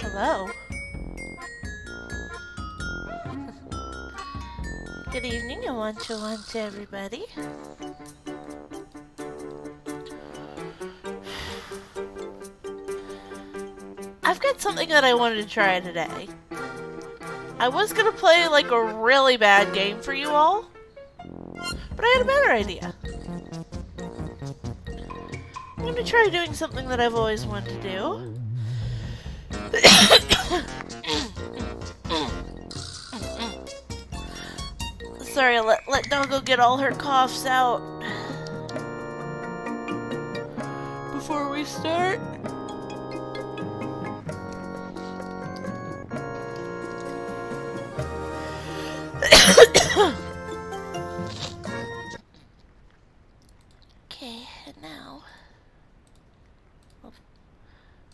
Hello. Good evening and one to one to everybody. I've got something that I wanted to try today. I was gonna play like a really bad game for you all, but I had a better idea. I'm gonna try doing something that I've always wanted to do. Sorry, let, let Doggo get all her coughs out. Before we start, okay, and now...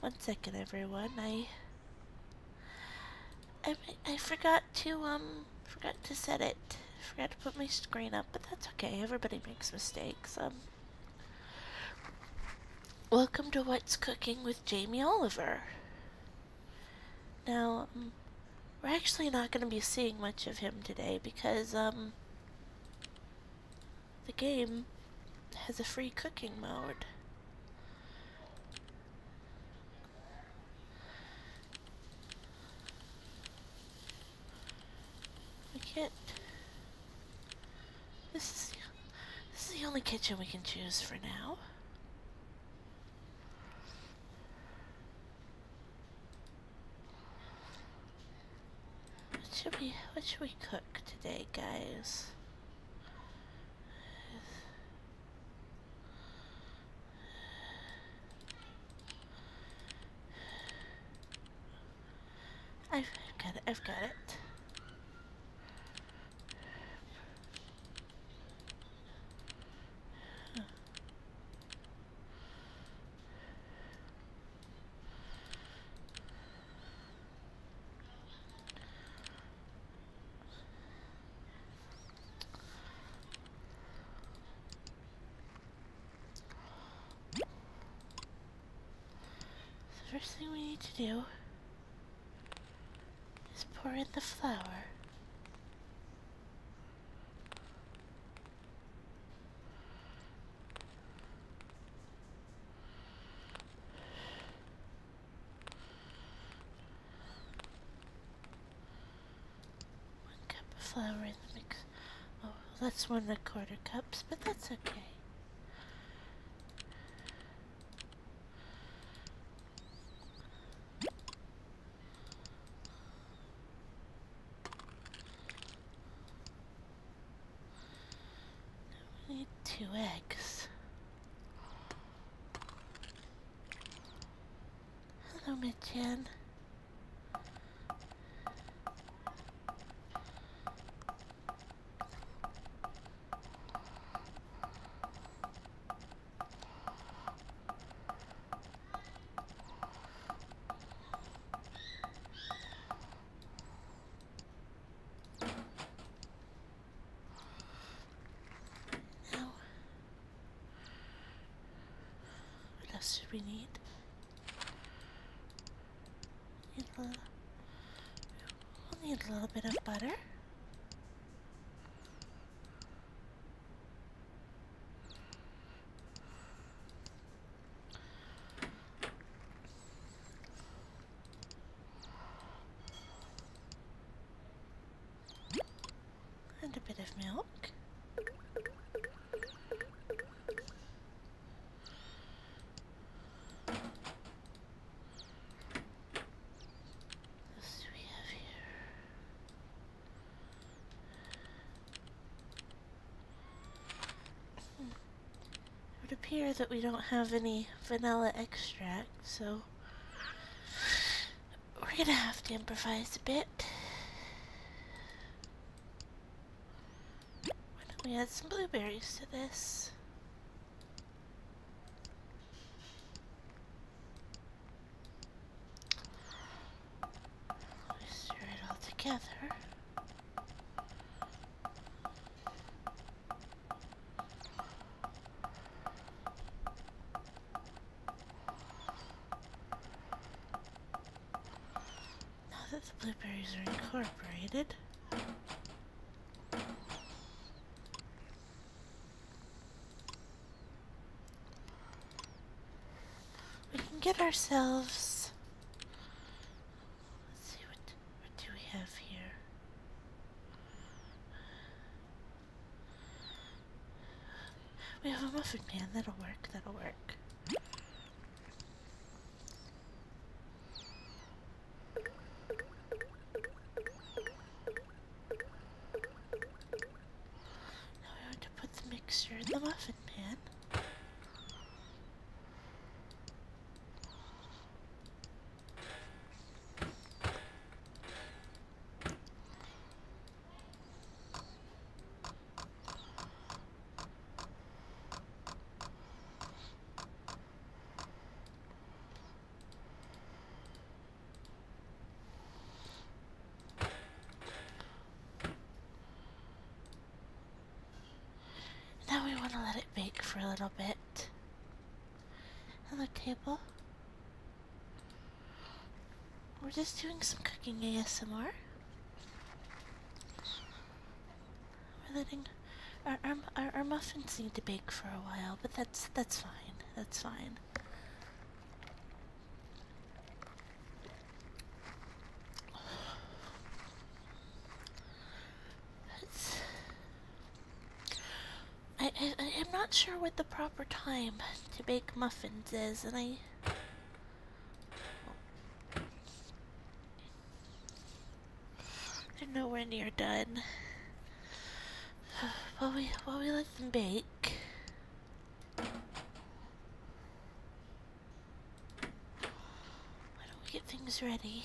one second, everyone. I... I, I forgot to, um, forgot to set it. Forgot to put my screen up, but that's okay. Everybody makes mistakes. Um, Welcome to What's Cooking with Jamie Oliver. Now, um, we're actually not going to be seeing much of him today because um, the game has a free cooking mode. We can't... This is, the, this is the only kitchen we can choose for now. What should we, what should we cook today, guys? I've got it, I've got it. The first thing we need to do is pour in the flour. flour in the mix. Oh, that's one and a quarter cups, but that's okay. We need two eggs. Hello, Mitchin. What else do we need? Need we'll need a little bit of butter. And a bit of milk. It appear that we don't have any vanilla extract, so we're gonna have to improvise a bit we add some blueberries to this? We stir it all together. Now that the blueberries are incorporated, we can get ourselves. Let's see what do we have here. We have a muffin pan. That'll work. That'll work. Now we have to put the mixture in the muffin pan. Now we want to let it bake for a little bit. Hello, table. We're just doing some cooking ASMR our, our our our muffins need to bake for a while, but that's that's fine. That's fine. I, I I'm not sure what the proper time to bake muffins is, and I. They're nowhere near done. While we while we let them bake. Why don't we get things ready?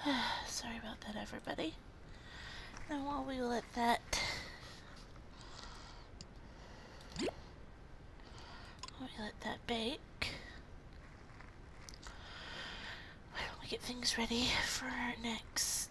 Sorry about that, everybody. And while we let that while we let that bake, why don't we get things ready for our next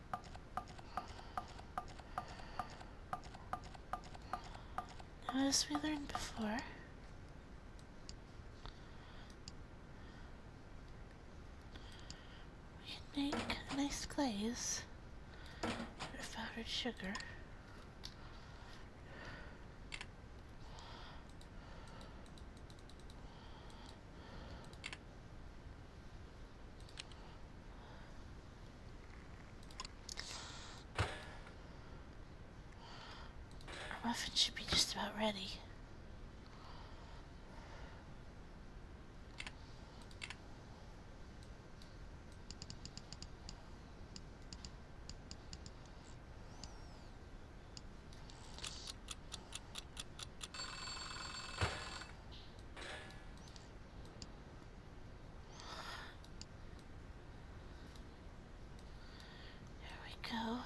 as we learned before, we can make a nice glaze with powdered sugar. Our muffin should be just about ready. There we go.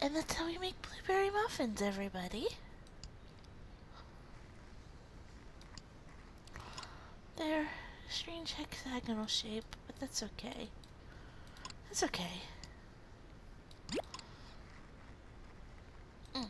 And that's how we make blueberry muffins, everybody. They're a strange hexagonal shape, but that's okay. That's okay. Mm.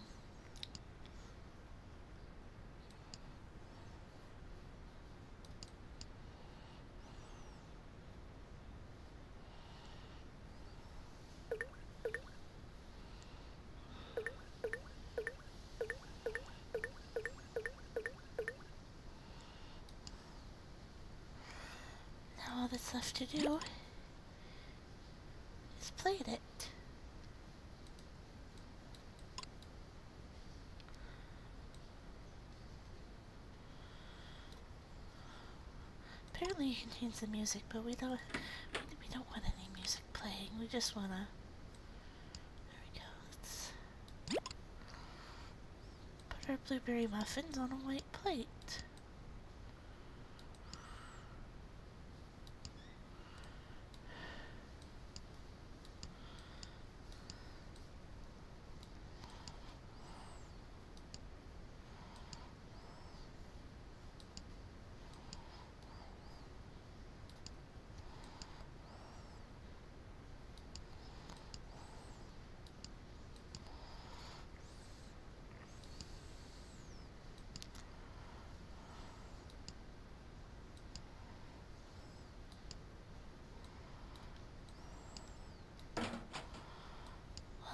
Now all that's left to do is play it. Apparently you can change the music, but we don't we don't want any music playing. We just wanna. There we go. Let's put our blueberry muffins on a white plate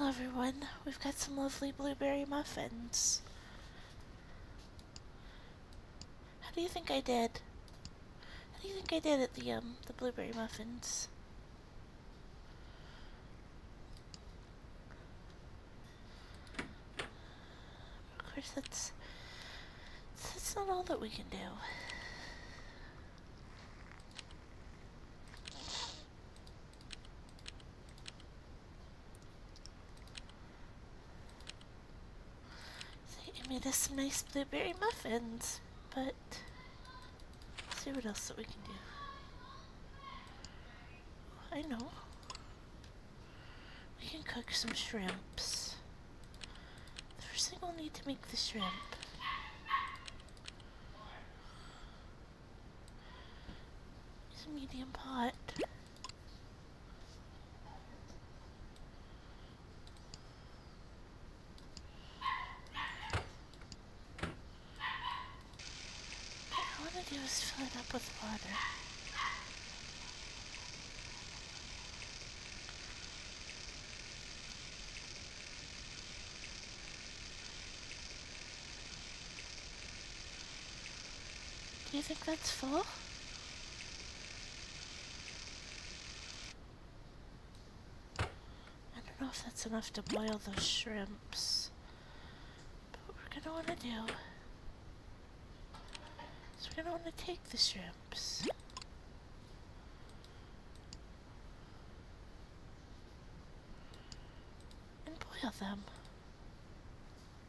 everyone, we've got some lovely blueberry muffins. How do you think I did? How do you think I did at the um the blueberry muffins? Of course, that's that's not all that we can do. They made us some nice blueberry muffins, but see what else that we can do. I know. We can cook some shrimps. The first thing we'll need to make the shrimp is a medium pot. What I want to do is fill it up with water. Do You think that's full? I don't know if that's enough to boil those shrimps. But we're gonna wanna do is we're gonna wanna take the shrimps. And boil them.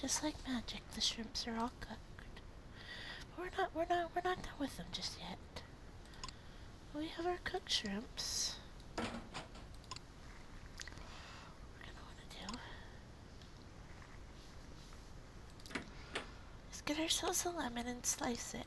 Just like magic, the shrimps are all cooked. But we're not we're not we're not done with them just yet. We have our cooked shrimps. We're gonna wanna do is get ourselves a lemon and slice it.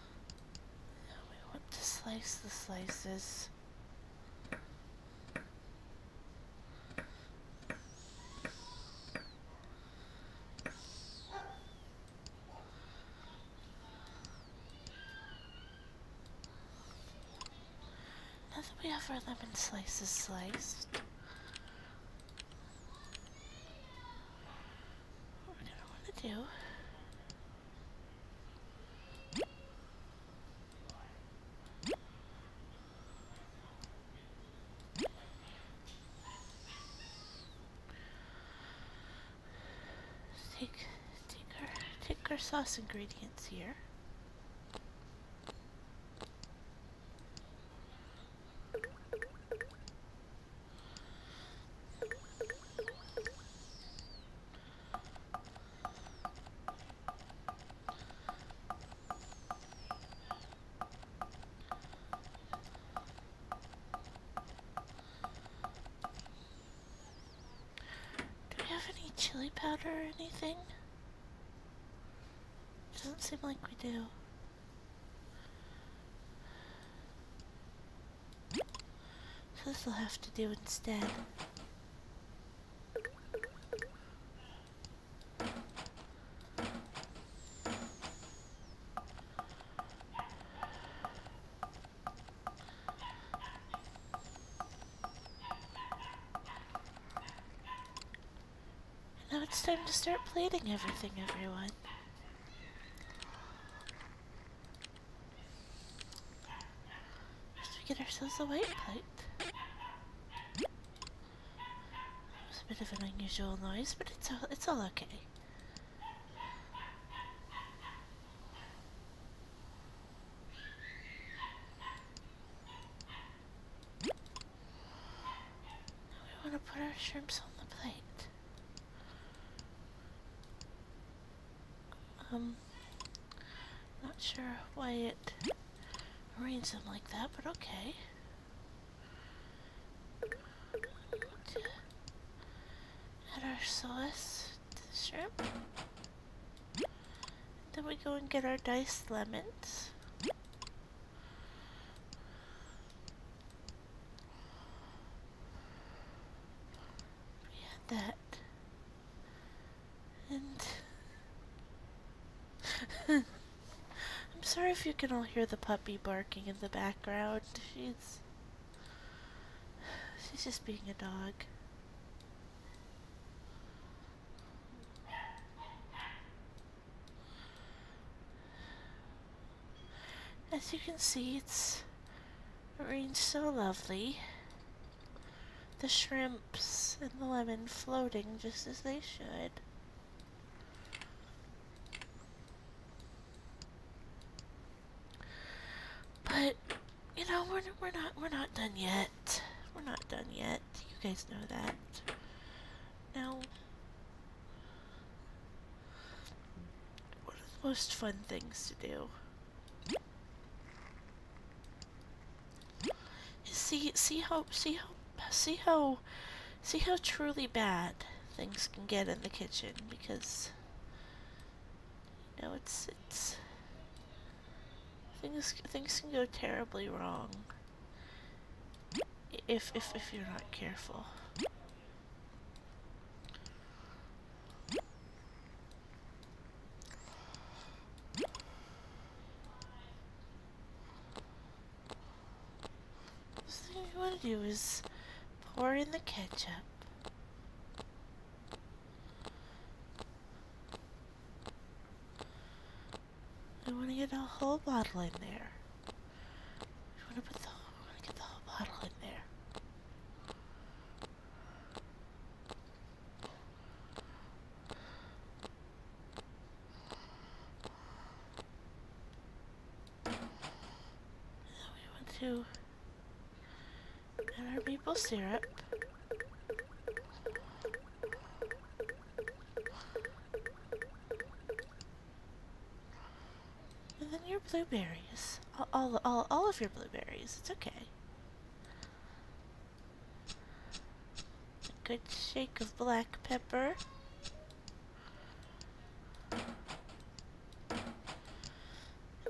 Now we want to slice the slices. Now that we have our lemon slices sliced, what we're going to want to do Take, take our, take our sauce ingredients here. Do we have any chili powder or anything? Doesn't seem like we do. So this will have to do instead. Now it's time to start plating everything, everyone. We have get ourselves a white plate. That was a bit of an unusual noise, but it's all, it's all okay. we want to put our shrimps on the plate. Um, not sure why it arranged them like that, but okay. Add our sauce to the shrimp. Then we go and get our diced lemons. We had that and I'm sorry if you can all hear the puppy barking in the background. She's she's just being a dog. As you can see, it's raining so lovely the shrimps and the lemon floating just as they should. But you know we're we're not we're not done yet. We're not done yet. You guys know that. Now, one of the most fun things to do See, see how, see how, see how, see how truly bad things can get in the kitchen because, you it's, it's, things, things can go terribly wrong if, if, if you're not careful. First thing you want to do is pour in the ketchup. I want to get a whole bottle in there. I want to put the, get the whole bottle in there we want to get our maple syrup. And then your blueberries. all, all, all of your blueberries. It's okay. A good shake of black pepper.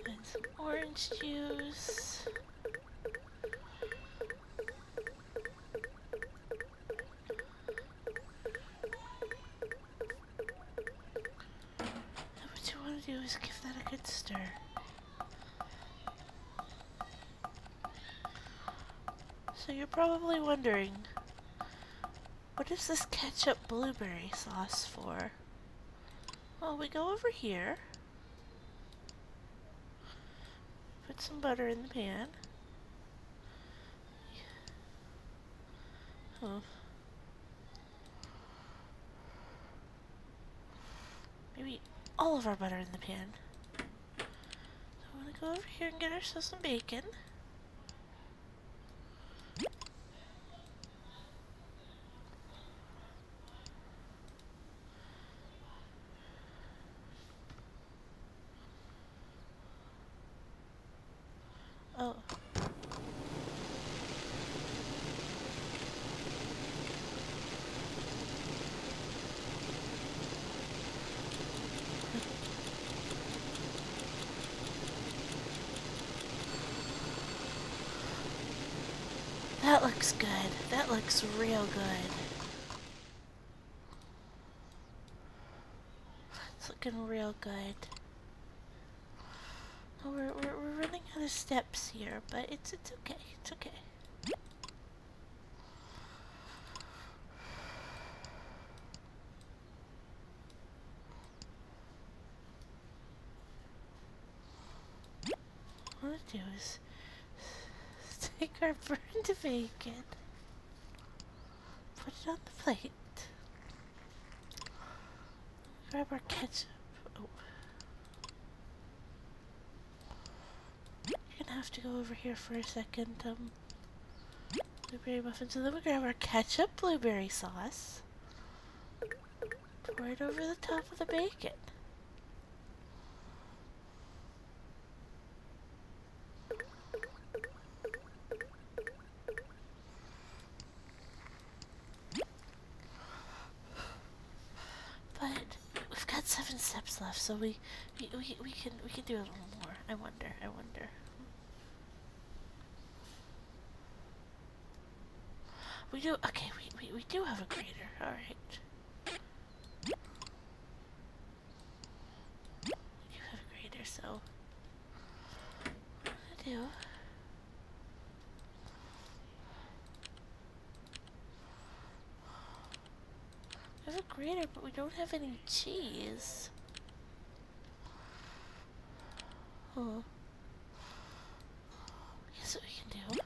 And some orange juice. Now what you want to do is give that a good stir. So you're probably wondering, what is this ketchup blueberry sauce for? Well, we go over here, put some butter in the pan. Maybe all of our butter in the pan. So I'm gonna go over here and get ourselves some bacon. Oh. That looks good. That looks real good. It's looking real good. Oh, we're, we're, running out of steps here, but it's, it's okay, it's okay. What we do is take our burned bacon, put it on the plate, grab our ketchup. Oh you are gonna have to go over here for a second. Um, blueberry muffins, and then we grab our ketchup blueberry sauce. Pour it over the top of the bacon. But we've got seven steps left, so we we we, can we can do a little more. I wonder. I wonder. We do okay. We we we do have a crater. All right. We have a grater, so I do. I have a grater, but we don't have any cheese. Huh. Here's what we can do.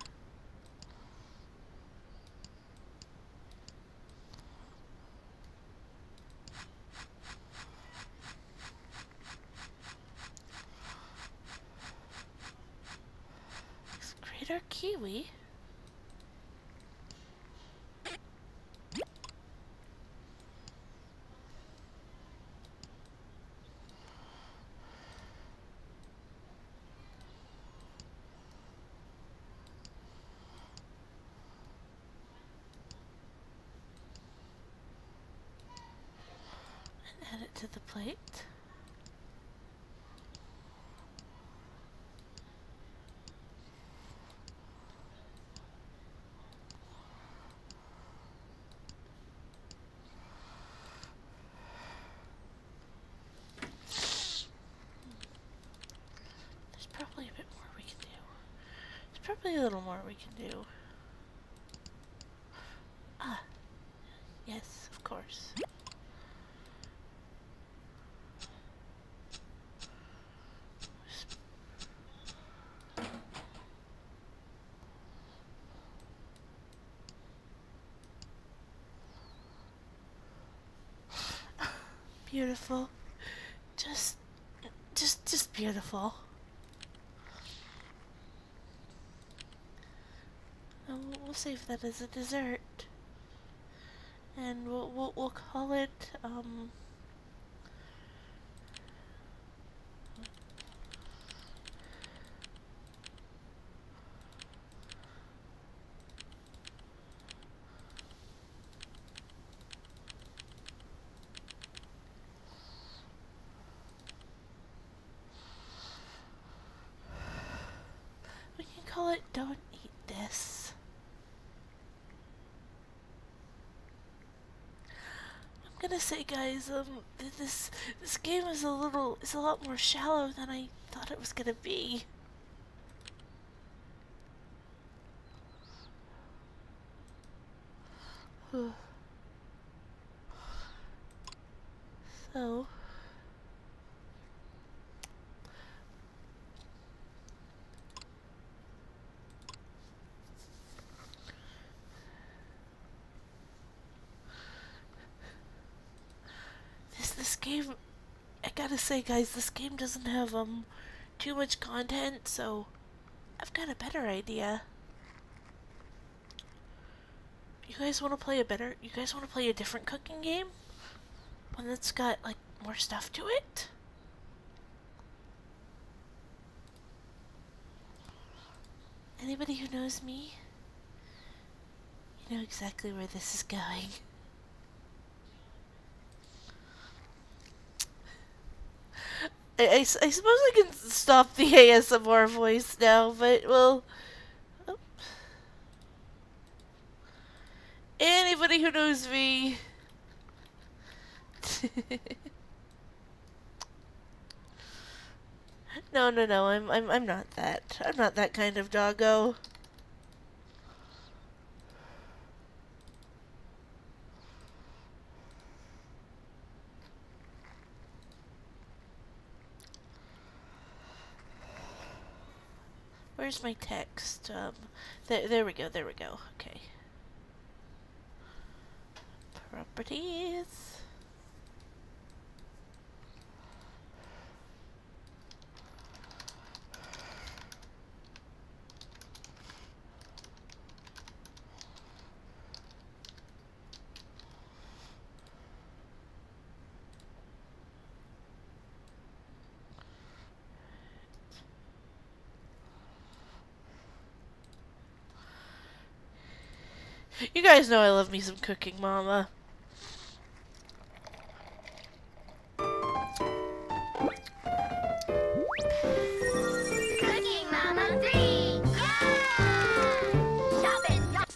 It's Greater Kiwi. and add it to the plate. There's probably a bit more we can do. There's probably a little more we can do. Ah, yes, of course. beautiful. Just, just, just beautiful. Um, we'll save that as a dessert, and we'll we'll, call it um, we can call it Don't Eat This. I'm gonna say guys, um this this game is a little is a lot more shallow than I thought it was gonna be. So... This, this game, I gotta say guys, this game doesn't have, um, too much content, so I've got a better idea. You guys want to play a better? You guys want to play a different cooking game? One that's got, like, more stuff to it? Anybody who knows me, you know exactly where this is going. I, I, I, suppose I can stop the ASMR voice now, but, well, Oh. Anybody who knows me. no, no, no. I'm I'm I'm not that. I'm not that kind of doggo. Where's my text? Um, there we go, there we go. Okay. Properties. You guys know I love me some cooking, Mama. Cooking Mama 3! Yeah! Shopping!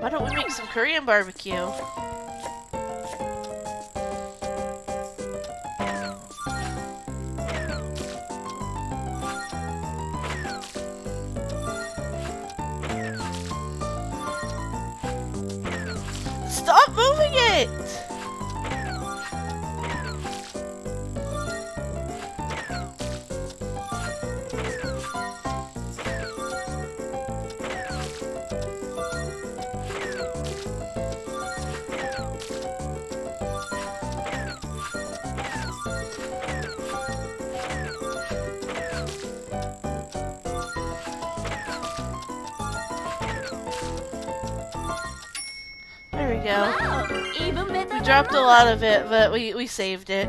Why don't we make some Korean barbecue? Stop moving it! Wow, we dropped a lot of it, but we, we saved it.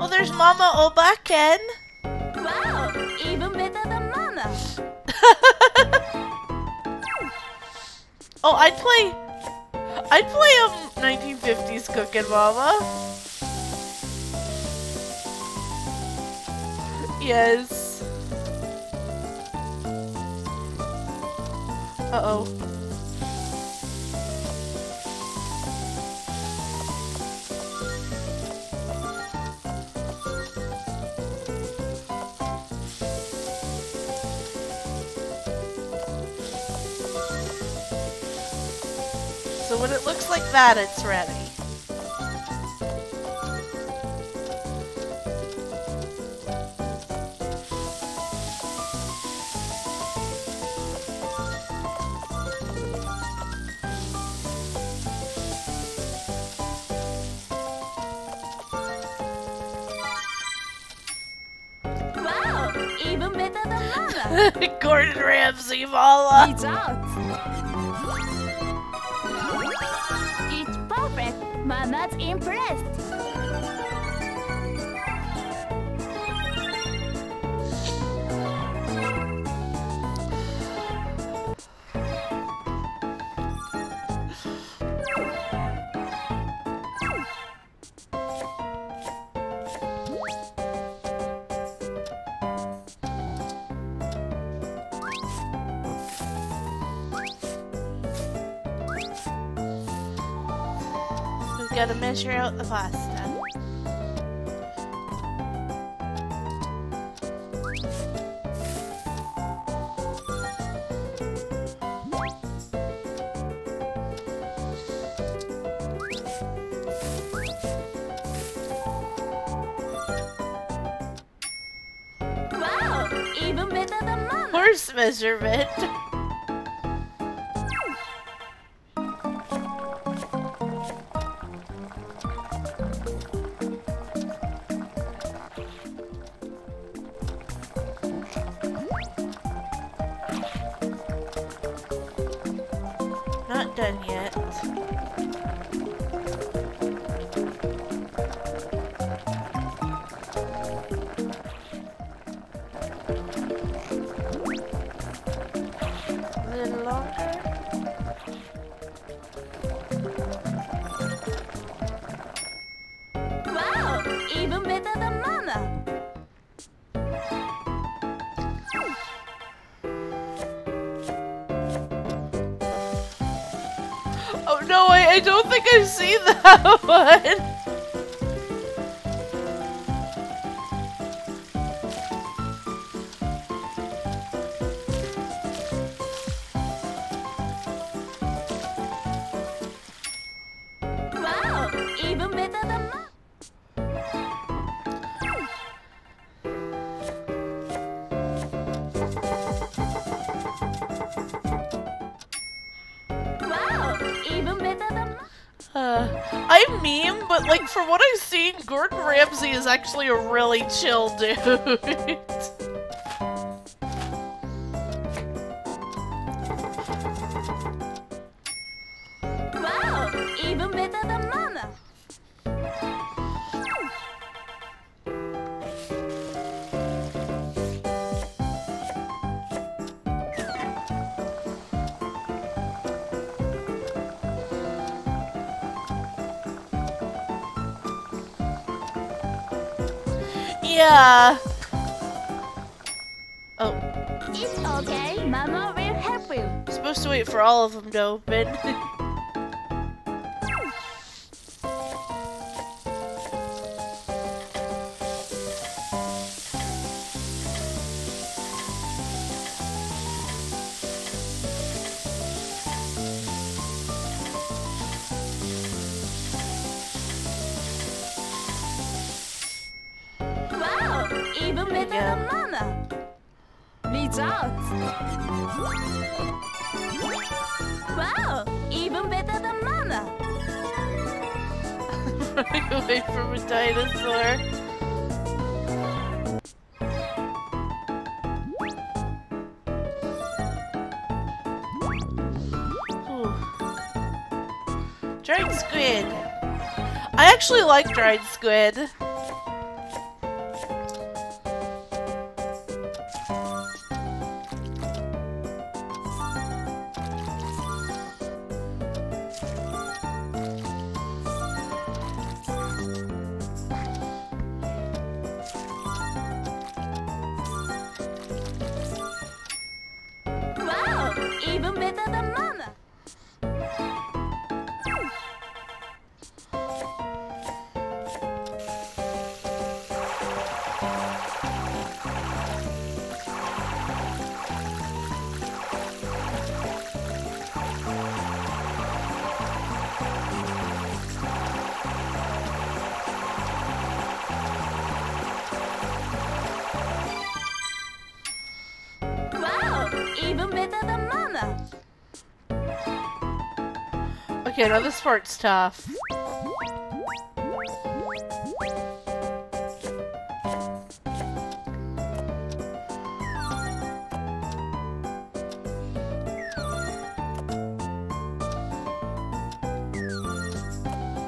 Oh, there's Mama Obaken. Wow, even better than Mama. Oh, I'd play... I'd play a 1950s Cookin' Mama. Yes. Uh-oh. So when it looks like that, it's ready. Wow, even better than Lala. Gordon Ramsay, Lala. It's out. It's perfect. Mama's impressed. We've got to measure out the pasta. Wow! Even better than mom! Horse measurement! Hmm. Not done yet. A little longer. Wow! Even better than Mama! Oh no, I, I don't think i see that one! Wow! Even better than mine! Uh, I meme, but like for what I've seen, Gordon Ramsay is actually a really chill dude. Wow! Even better than Mama! Yeah. Oh. It's okay. Mama will help you. I'm supposed to wait for all of them to open. Wow! Even better than Mama! Reach out! Wow! Even better than Mama! Running away from a dinosaur! Dried squid. I actually like dried squid. Wow! Even better than Mama! Wow! Even better than Mama! Okay, now this part's tough.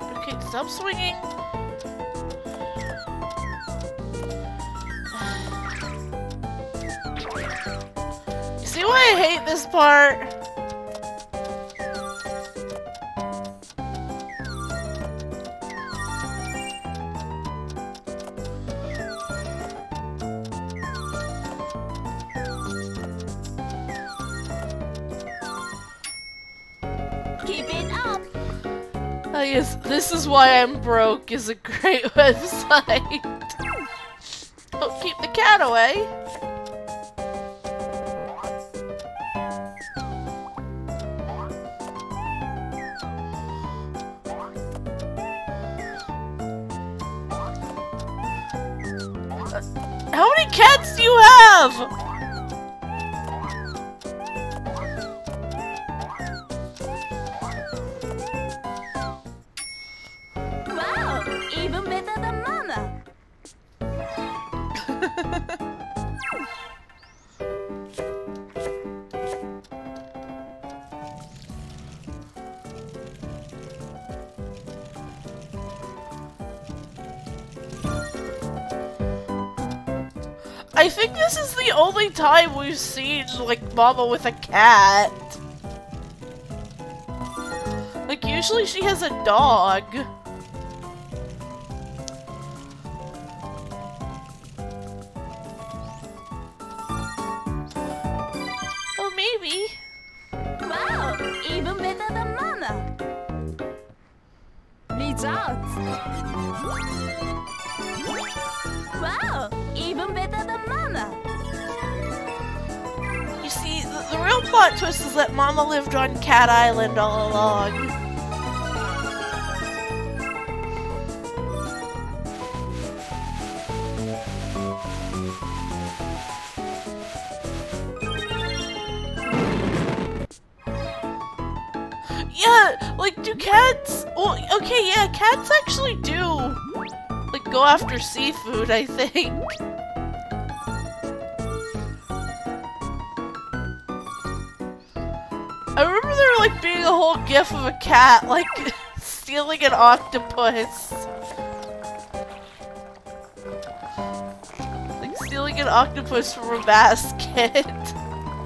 Okay, stop swinging. see why I hate this part? Keep it up! I guess this is why I'm broke is a great website. Don't oh, keep the cat away. Uh, how many cats do you have? Wow! Even better than Mama! I think this is the only time we've seen, like, Mama with a cat. Like, usually she has a dog. Oh, maybe. Wow, even better than Mama. Results! Wow! Even better than Mama! You see, the, the real plot twist is that Mama lived on Cat Island all along. Yeah, like, do cats... Well, okay, yeah, cats actually do, like, go after seafood, I think. I remember there, like, being a whole gif of a cat, like, stealing an octopus. Like, stealing an octopus from a basket.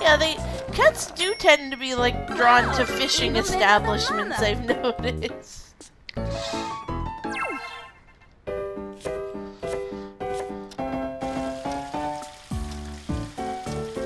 Yeah, they cats do tend to be like drawn to fishing establishments, I've noticed.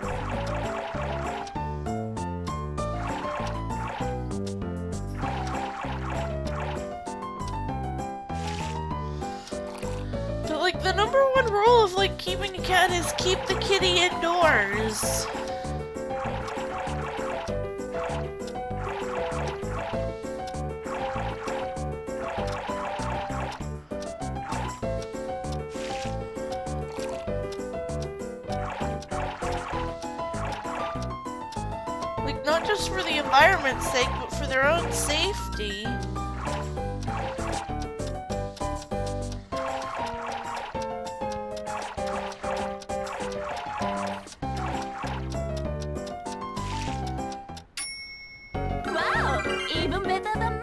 But like the number one rule of like keeping a cat is keep the kitty indoors. Like, not just for the environment's sake, but for their own safety. Wow! Even better than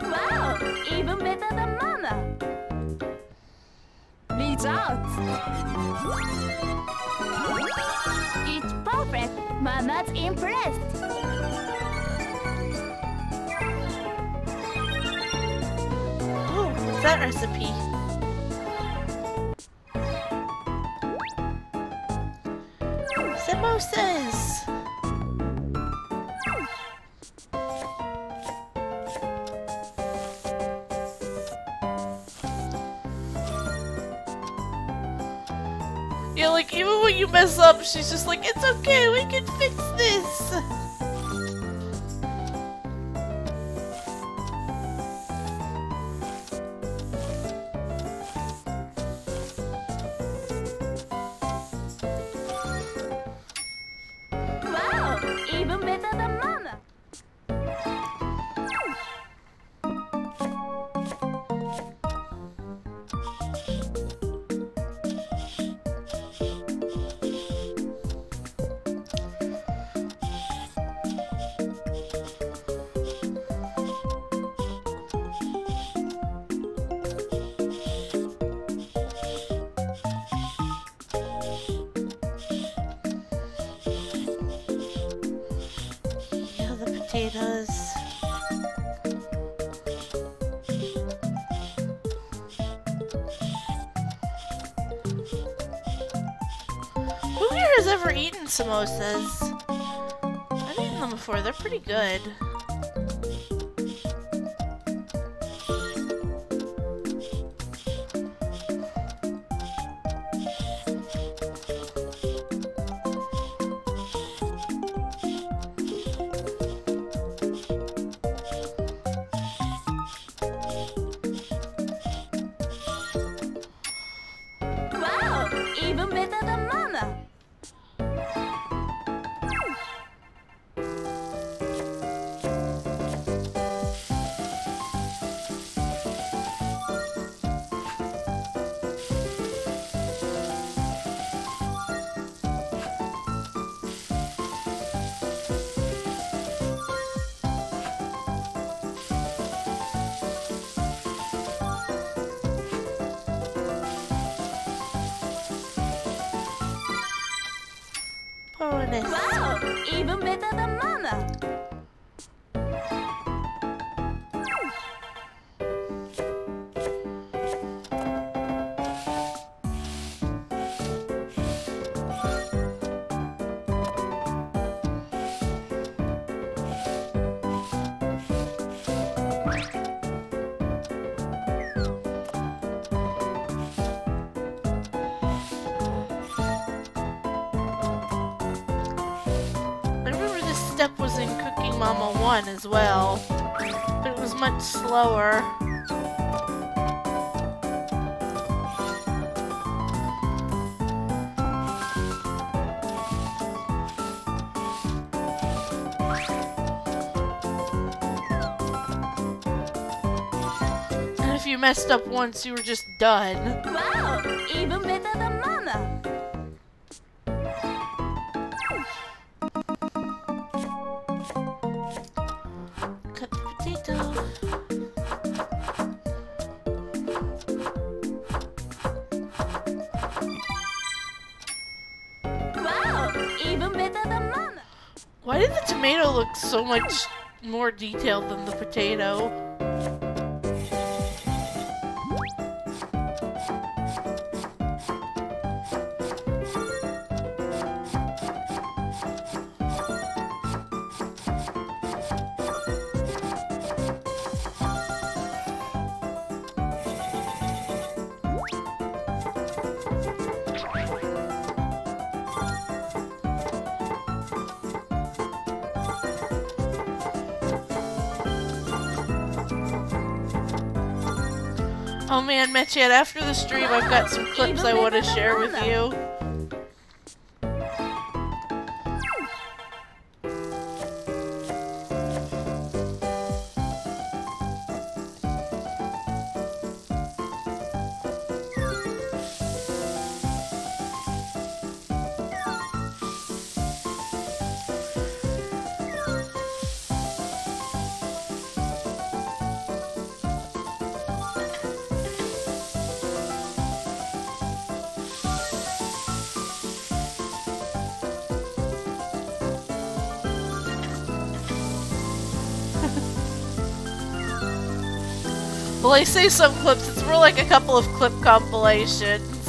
Wow, even better than Mama. It's perfect! Mama's impressed! Ooh, what's that recipe? Samosas! You like, even when you mess up, she's just like, it's okay, we can fix this! Wow, even better than Mama! The potatoes. Who here has ever eaten samosas? I've eaten them before, they're pretty good even better than Mama. Wow! Even better than Mama! I remember this step was in Cooking Mama 1 as well. But it was much slower. And if you messed up once, you were just done. Wow! Even better than Mama! Wow, even better than mama. Why did the tomato look so much more detailed than the potato? Oh man, met Mitch, it after the stream, I've got some clips I want to share with you. Well, I say some clips, it's more like a couple of clip compilations.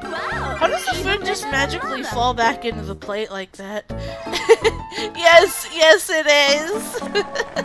Wow! How does the food just magically fall back into the plate like that? yes, yes it is!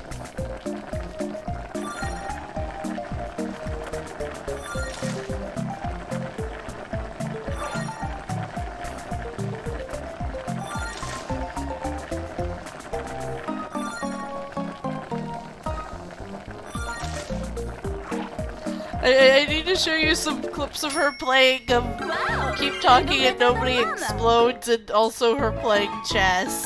I, need to show you some clips of her playing um, Keep Talking and Nobody Explodes and also her playing chess.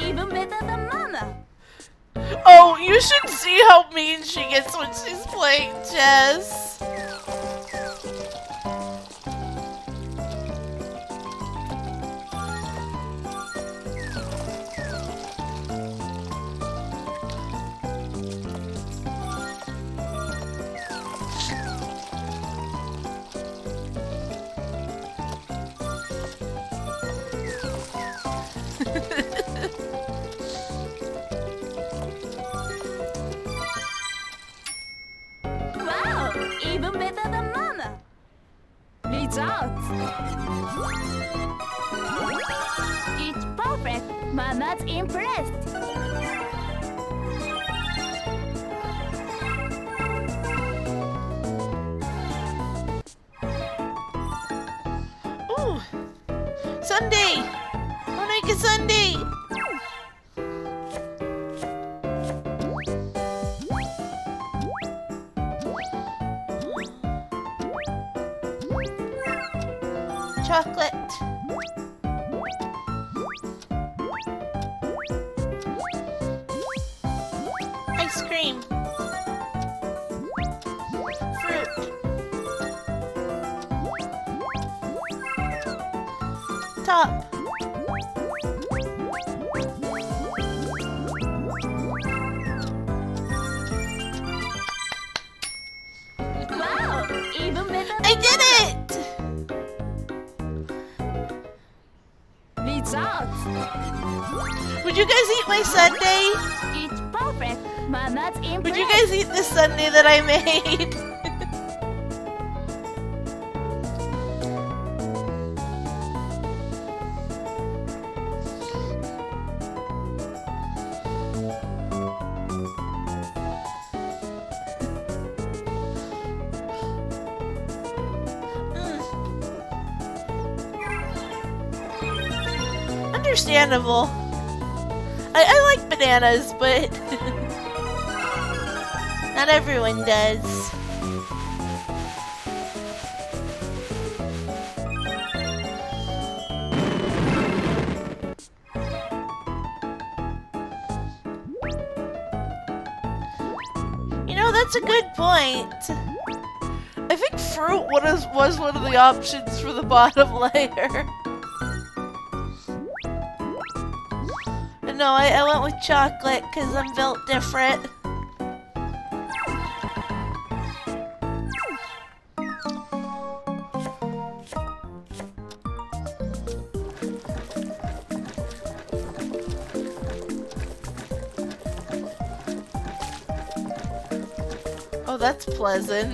even better than Mama. Oh, you should see how mean she gets when she's playing chess wow! Even better than Mama! Results! It's perfect! Mama's impressed! Ooh! Sunday! Onaika Sunday! Chocolate. Ice cream. Fruit. Top. Wow! Even with I did it! Leads out. Would you guys eat my Sunday? It's perfect. Mama's in. Would you guys eat this Sunday that I made? Mm. understandable. I, I, like bananas, but not everyone does. You know, that's a good point. I think fruit was, was one of the options for the bottom layer. no, I went with chocolate because I'm built different. Oh, that's pleasant.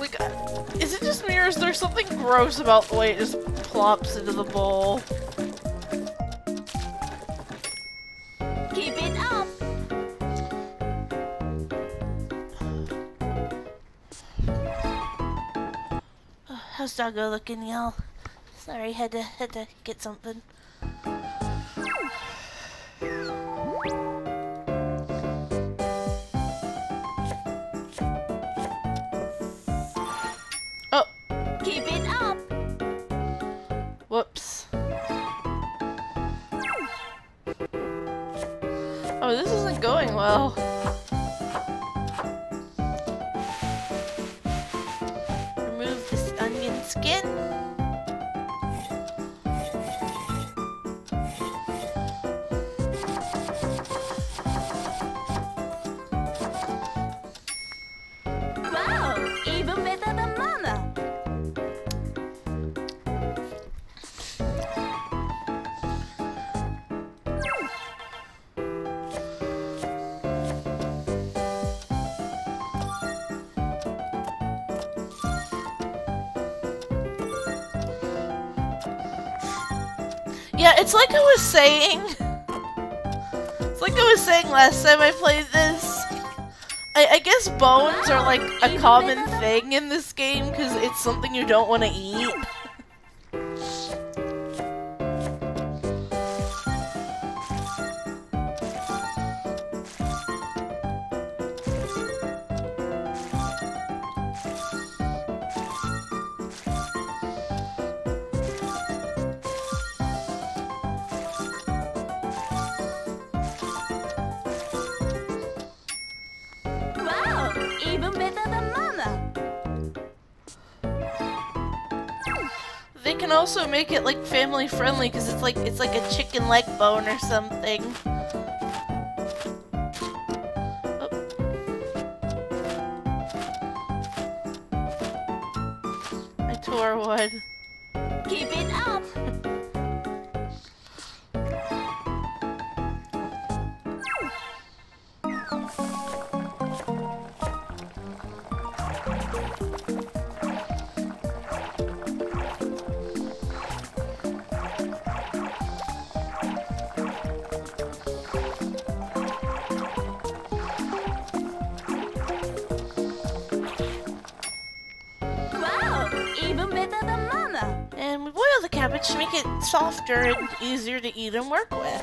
We got is it just me or is there something gross about the way it just plops into the bowl? Keep it up! how's Doggo looking, y'all? Sorry, had to had to get something. Oh. Keep it up. Whoops. Oh, this isn't going well. Remove this onion skin. Wow! Even better than Mama! Yeah, it's like I was saying... It's like I was saying last time I played this. I, guess bones are like a common thing in this game because it's something you don't want to eat. Wow! Even better than Mama! They can also make it like family friendly because it's like it's like a chicken leg bone or something. Oh. I tore wood. Keep it up! And we boil the cabbage to make it softer and easier to eat and work with.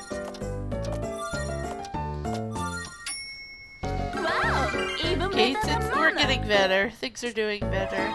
Okay, since we're getting better, things are doing better.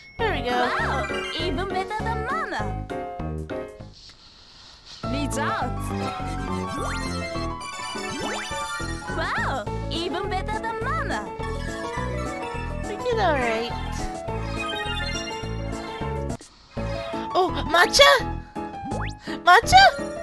Here we go. Wow, even better than Mama. Needs out. Wow, even better than Mama. We all right. Oh, matcha! Matcha!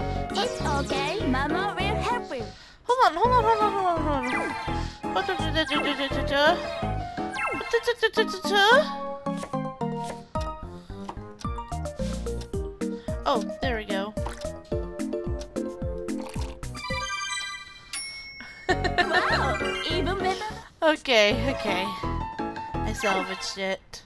It's okay, Mama will help you. Hold on, hold on, hold on, hold on, hold on. Oh, there we go. wow, even better. Okay, okay. I salvaged it.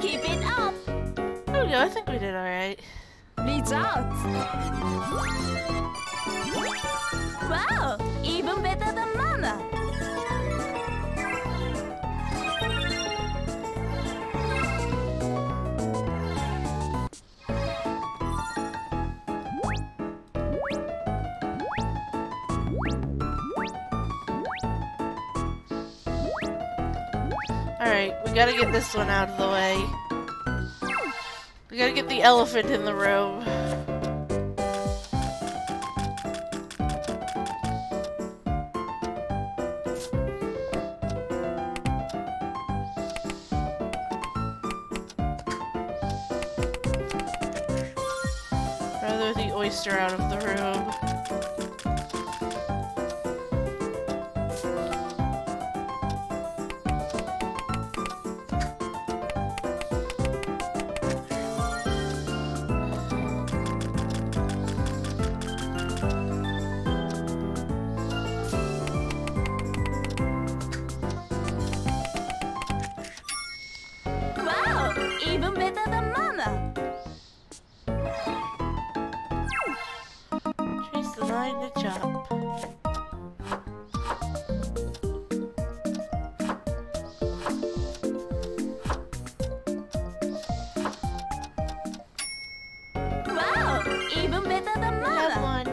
Keep it up! Oh yeah, I think we did alright. Lights out! Wow! Even better than Mama! Alright, we gotta get this one out of the way. We gotta get the elephant in the room. Rather the oyster out of the room even better than Mama. She's designing the job. Wow! Even better than mine!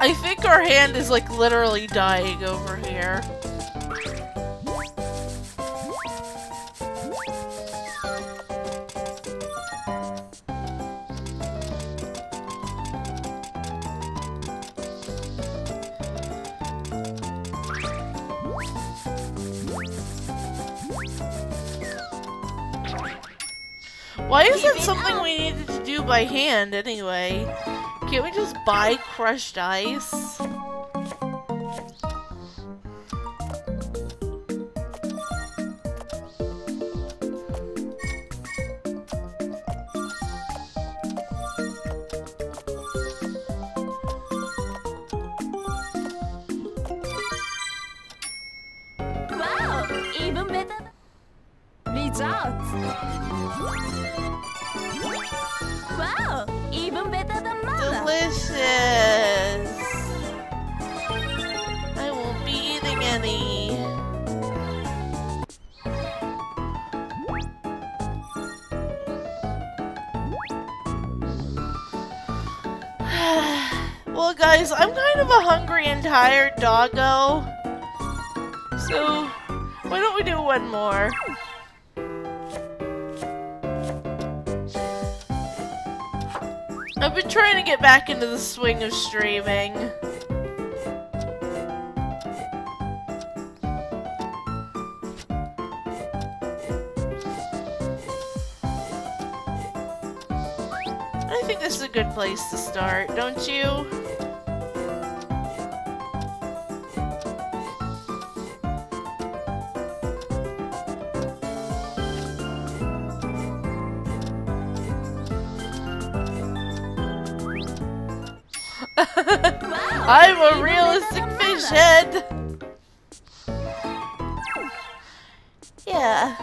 I think our hand is like literally dying over here. Why is it something we needed to do by hand anyway? Can't we just buy crushed ice? Wow! Even better than mother! Delicious! I will not be eating any. well, guys, I'm kind of a hungry and tired doggo. So, why don't we do one more? I've been trying to get back into the swing of streaming. I think this is a good place to start, don't you? I'm a realistic fish head! Yeah.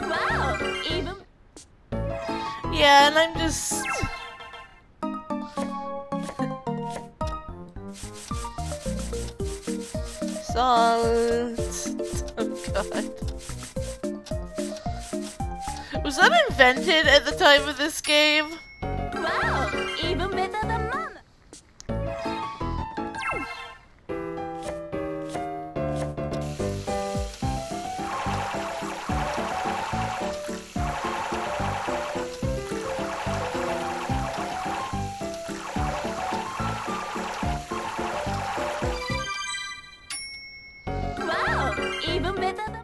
Wow! Even... Yeah, and I'm just... Salt. Oh god. Was that invented at the time of this game? wow! Even better than Mom! Wow! Even better than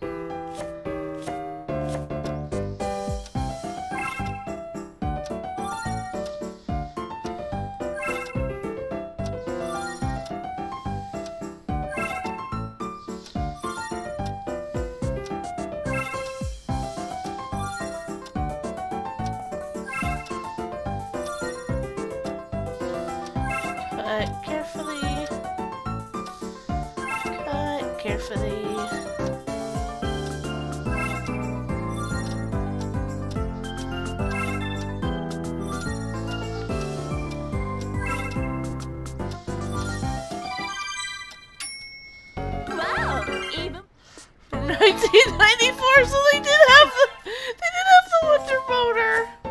but carefully but uh, carefully. Wow! Even 1994, so they did have the they did have the winter motor here.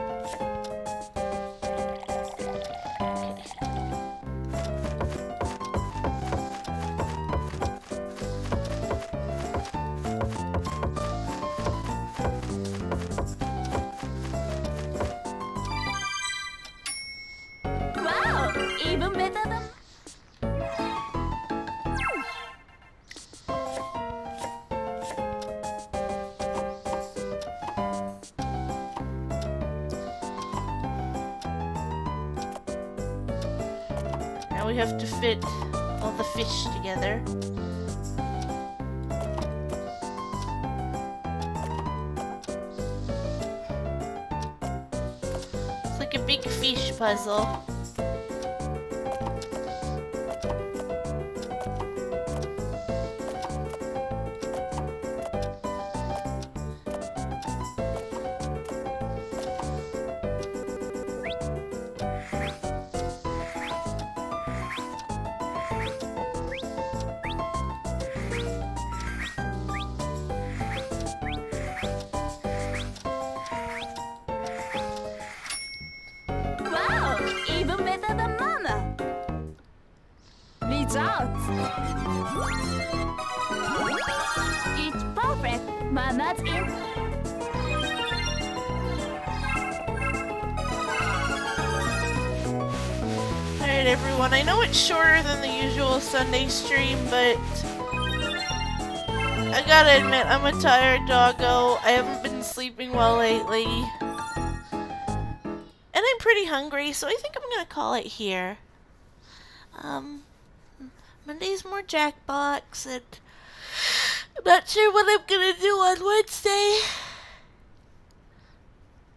Wow, even better now we have to fit all the fish together. It's like a big fish puzzle. Wow! Even better than Mama! Results! It's perfect! Mama's in! Alright everyone, I know it's shorter than the usual Sunday stream, but... I gotta admit, I'm a tired doggo. I haven't been sleeping well lately. And I'm pretty hungry, so I think I'm going to call it here. Um, Monday's more Jackbox, and I'm not sure what I'm going to do on Wednesday.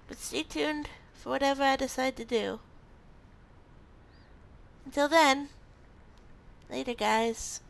But stay tuned for whatever I decide to do. Until then, later, guys.